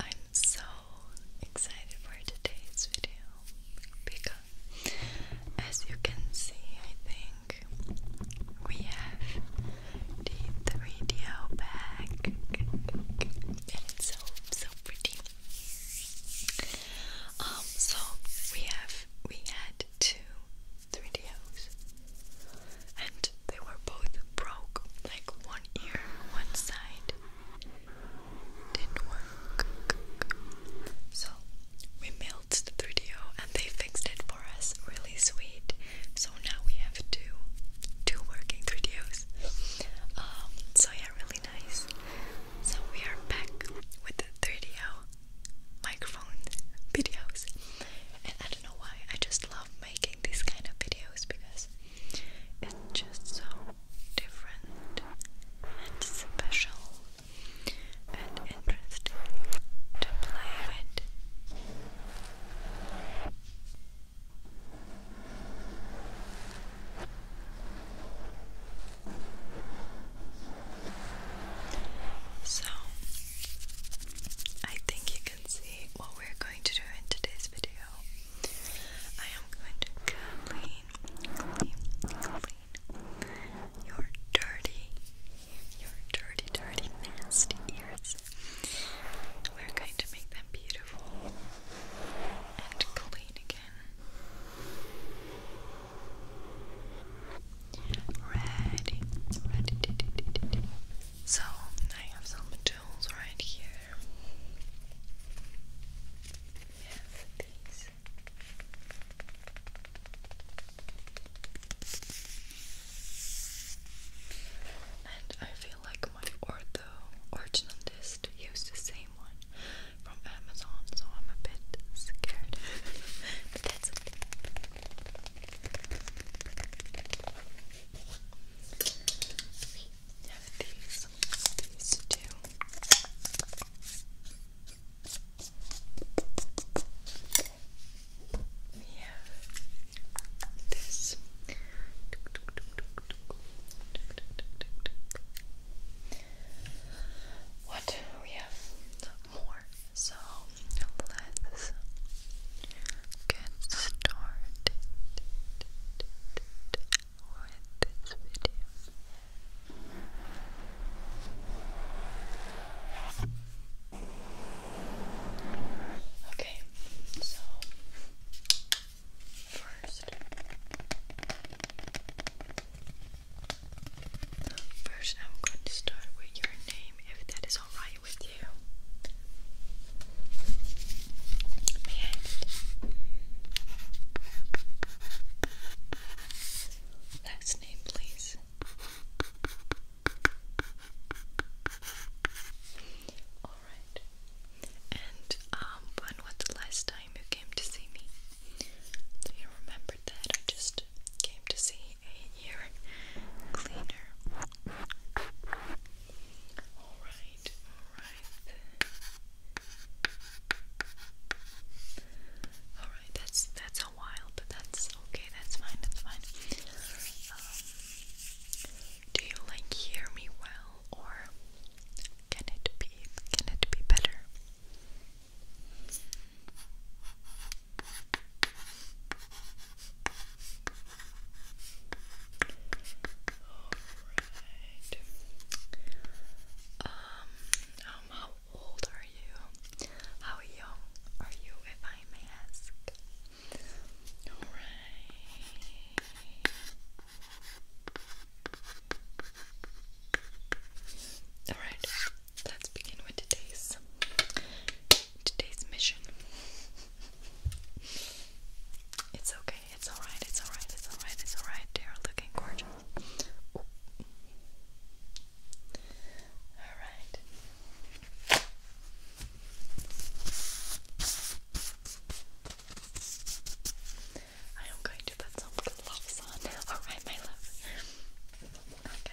I'm so excited for today's video because, as you can see, I think we have the 3 d bag and it's so, so pretty. Um, so we have, we had two 3DOs and they were both broke, like one ear, one side. Didn't work. So we mailed the 3D video and they fixed it for us. Really sweet. So now we have two two working videos. Um so yeah really nice. So we are back with the 3DO microphones videos. And I don't know why, I just love making these kind of videos because it's just so different and special and interesting to play with. So, I think you can see what we're going to do in today's video. I am going to clean, clean, clean your dirty, your dirty, dirty, nasty ears. We're going to make them beautiful and clean again. Ready, So I have some tools right here. We have And I feel like my ortho orthodontist used the same one from Amazon, so I'm a bit scared. have these, these two. We have this. What we have more, so let's get started with this video. Okay, so first, first I'm going to start with your name, if that is alright right you. last name, please. Alright. And um when was the last time you came to see me? Do you remember that? I just came to see a cleaner. Alright, alright. Alright, that's that's a while, but that's okay, that's fine, that's fine. Um, do you like hear me well or can it be can it be better? Alright. Um, um, how old are you? How young are you, if I may ask? Alright. Alright, let's begin with the taste today's mission. It's okay, it's alright, it's alright, it's alright, it's alright. They are looking gorgeous. Alright. I am going to put some gloves on. Alright, my love. Okay.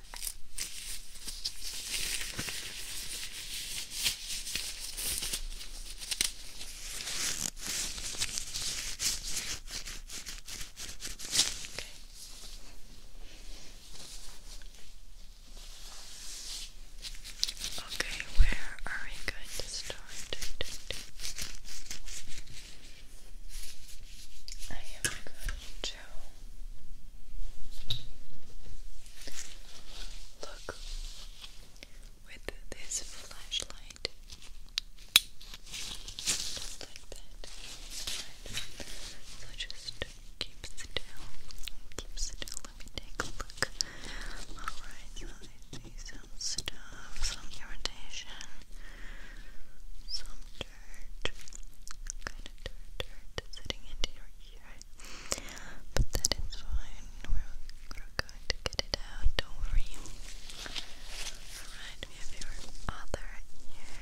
Okay, where are we going to start? I am going to so look with this flashlight just like that. So just keep still, keep still. Let me take a look. Alright, so I see some stuff, some irritation, some dirt, kind of dirt, dirt sitting into your ear, but that is fine. We're, going to get it out. Don't worry. Alright, we have your other ear.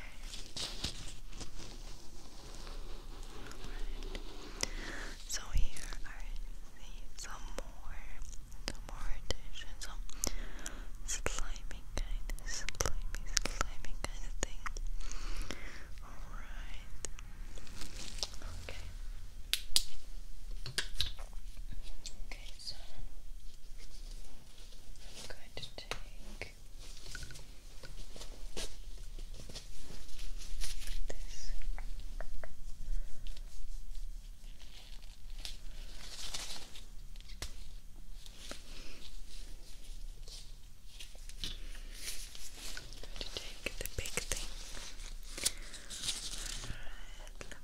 Alright. So here are some more, some more additions, some slimy slimy kind of kind of thing. Alright. Okay. Okay, so I'm going to take this. I'm to take the big thing. Okay,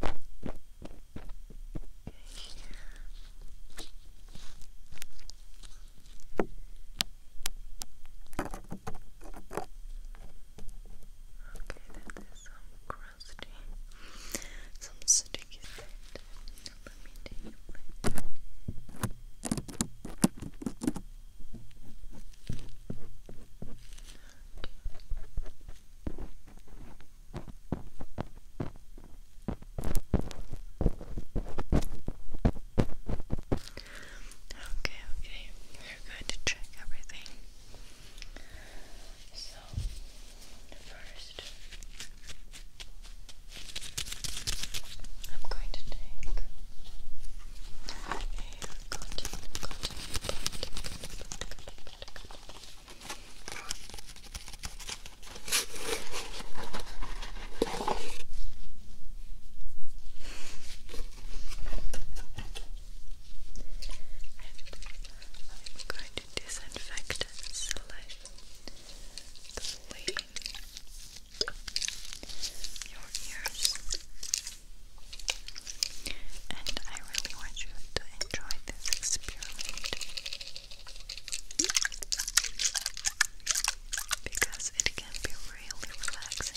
that is some crusty, some sticky. Right? let me take a look. Okay, okay, we're going to check everything. So, the first, I'm going to take a cotton, I'm going to disinfect slightly clean your ears and I really want you to enjoy this experiment because it can be really relaxing.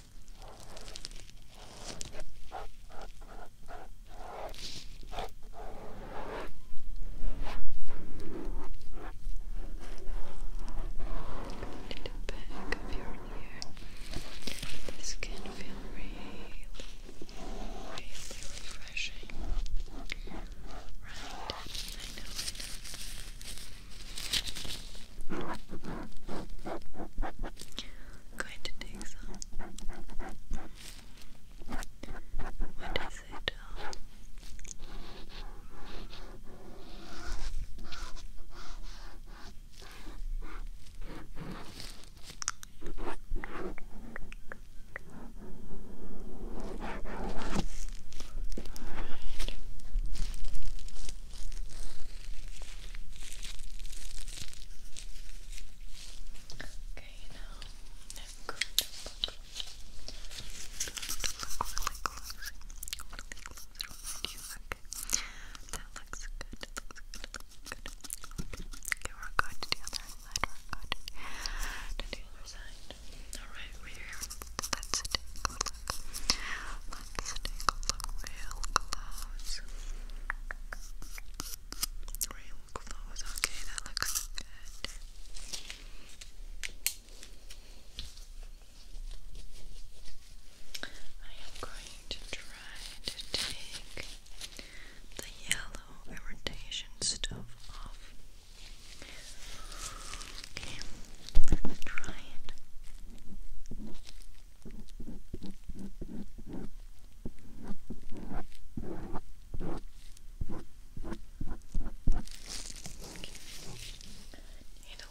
to the back of your ear. This can feel really, really refreshing. Right? I know, I know going to take some. What is it? Oh. All right. Okay, now I'm going to look really close, you. that looks good. good. Okay, we're going to the other side. We're going to the other side. All right, we're here let's take a Okay, that looks good. I am going to try to take the yellow irritation stuff off. let me try it. Need a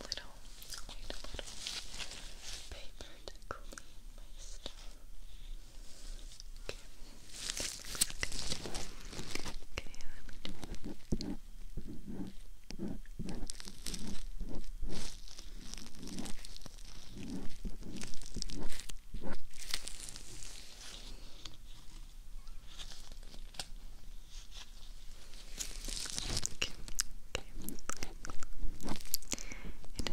little, need a little paper to clean my stuff. Okay. Okay, let me do it. Okay. It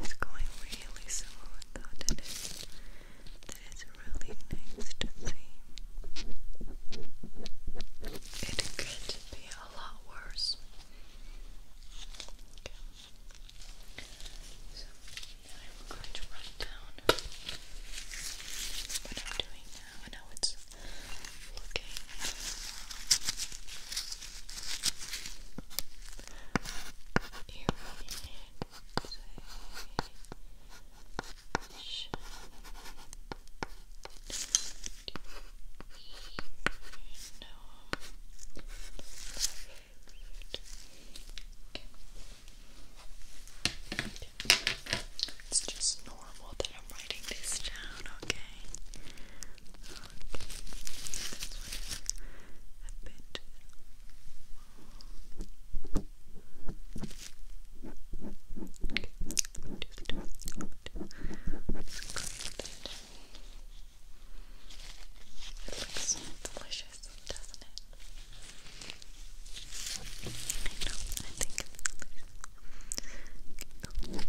is going really smooth though, that is, really nice to see. It could be a lot worse. Okay. So I'm going to write down what I'm doing now and how it's looking. Here it's just normal that I'm writing this down, okay? Okay. a bit it looks delicious, doesn't it? I know, I think it's delicious.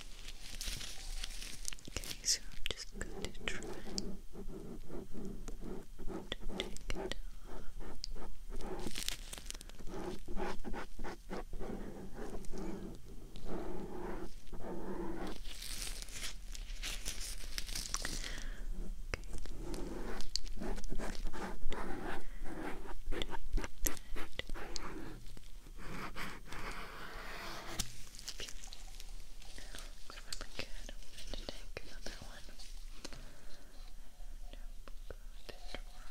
Okay, so I'm just going to try to take it off. Okay. Remember, good. I'm going to take another one.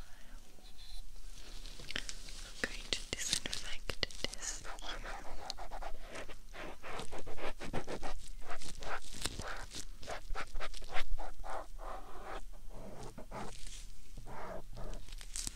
I'm going to disinfect this. Okay.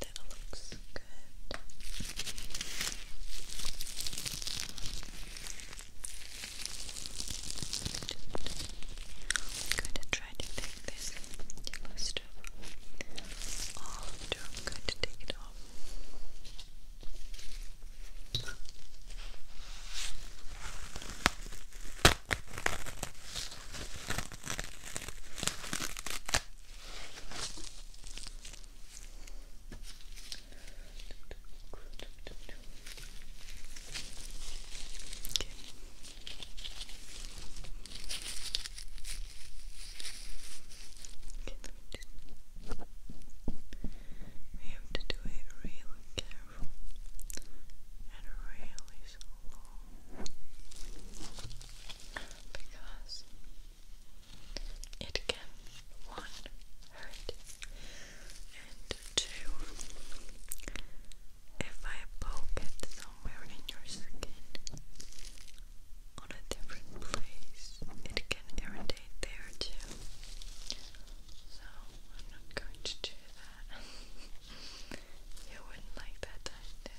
That looks I'm going to try to take this yellow stuff off. I'm going to take it off. We have to do it really careful and really slow because it can one hurt and two if I poke it somewhere in your skin on a different place it can irritate there too so I'm not going to do that you wouldn't like that I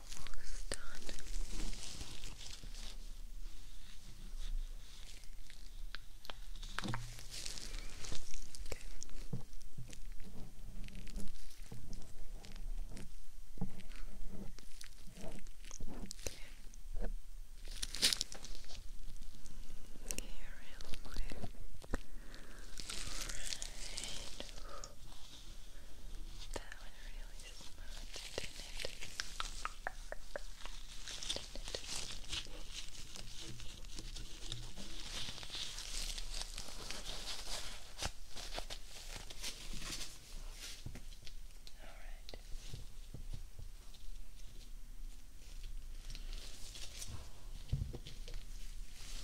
almost done. Okay. Okay. Okay, real quick. Alright. That one really smooth, didn't it? Didn't it? All right. All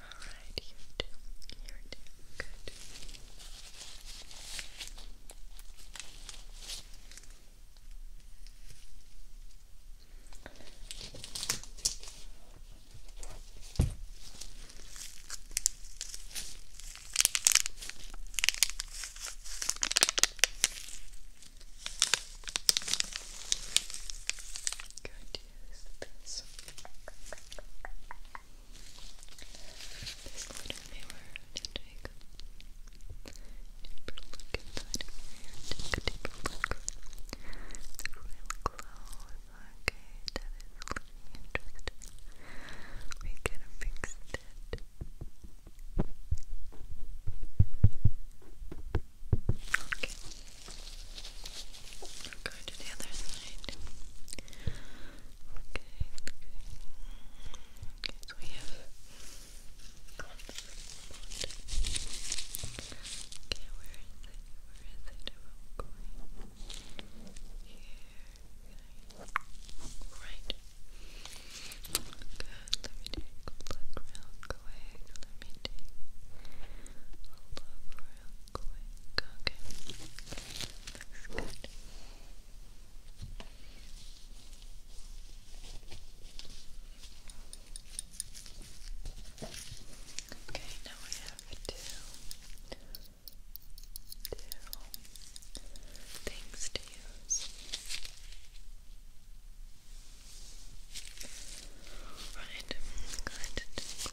All right, here too. Here too. Good. Good use this this little take a deeper look Take a deeper look. It's real close. Okay, that is looking interesting. We can fix it. Okay. Go to the other side. Okay, okay. Okay, so Okay, where is it? Where is it? I'm going here. Right. Good. Let me take black milk away. Let me take Hold up real Okay. now we have two, two things to use. Right, good.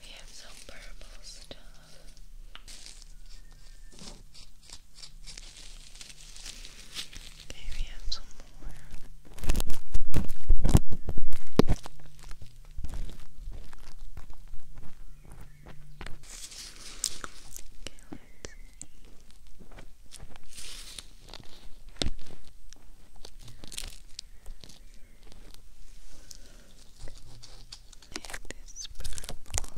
We have some purple stuff. Okay, we have some more. Okay, yeah, this purple All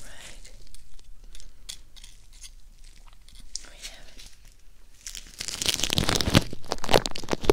right. We have it.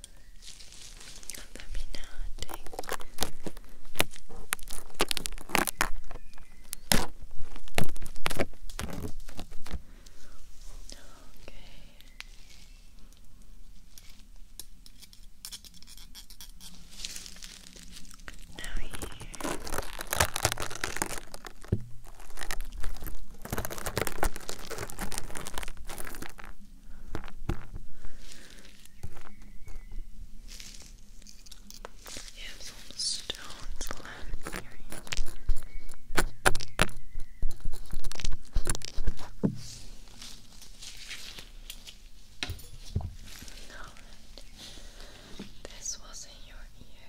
illuminating okay now here you have some stones left here. Now, this was in your ear.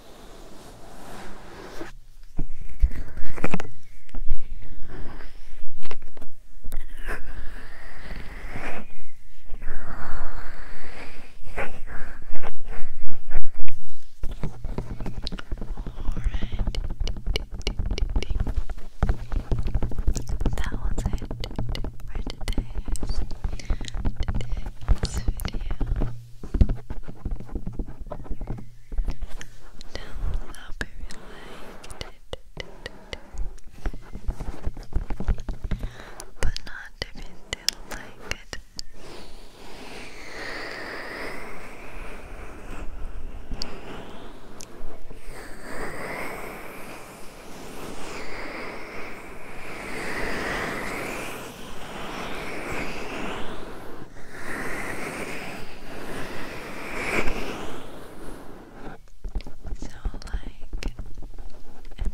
That was it for today's, today's this video. Thumbs up you But not if you did so, like and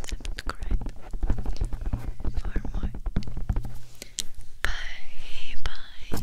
subscribe for more. Bye bye.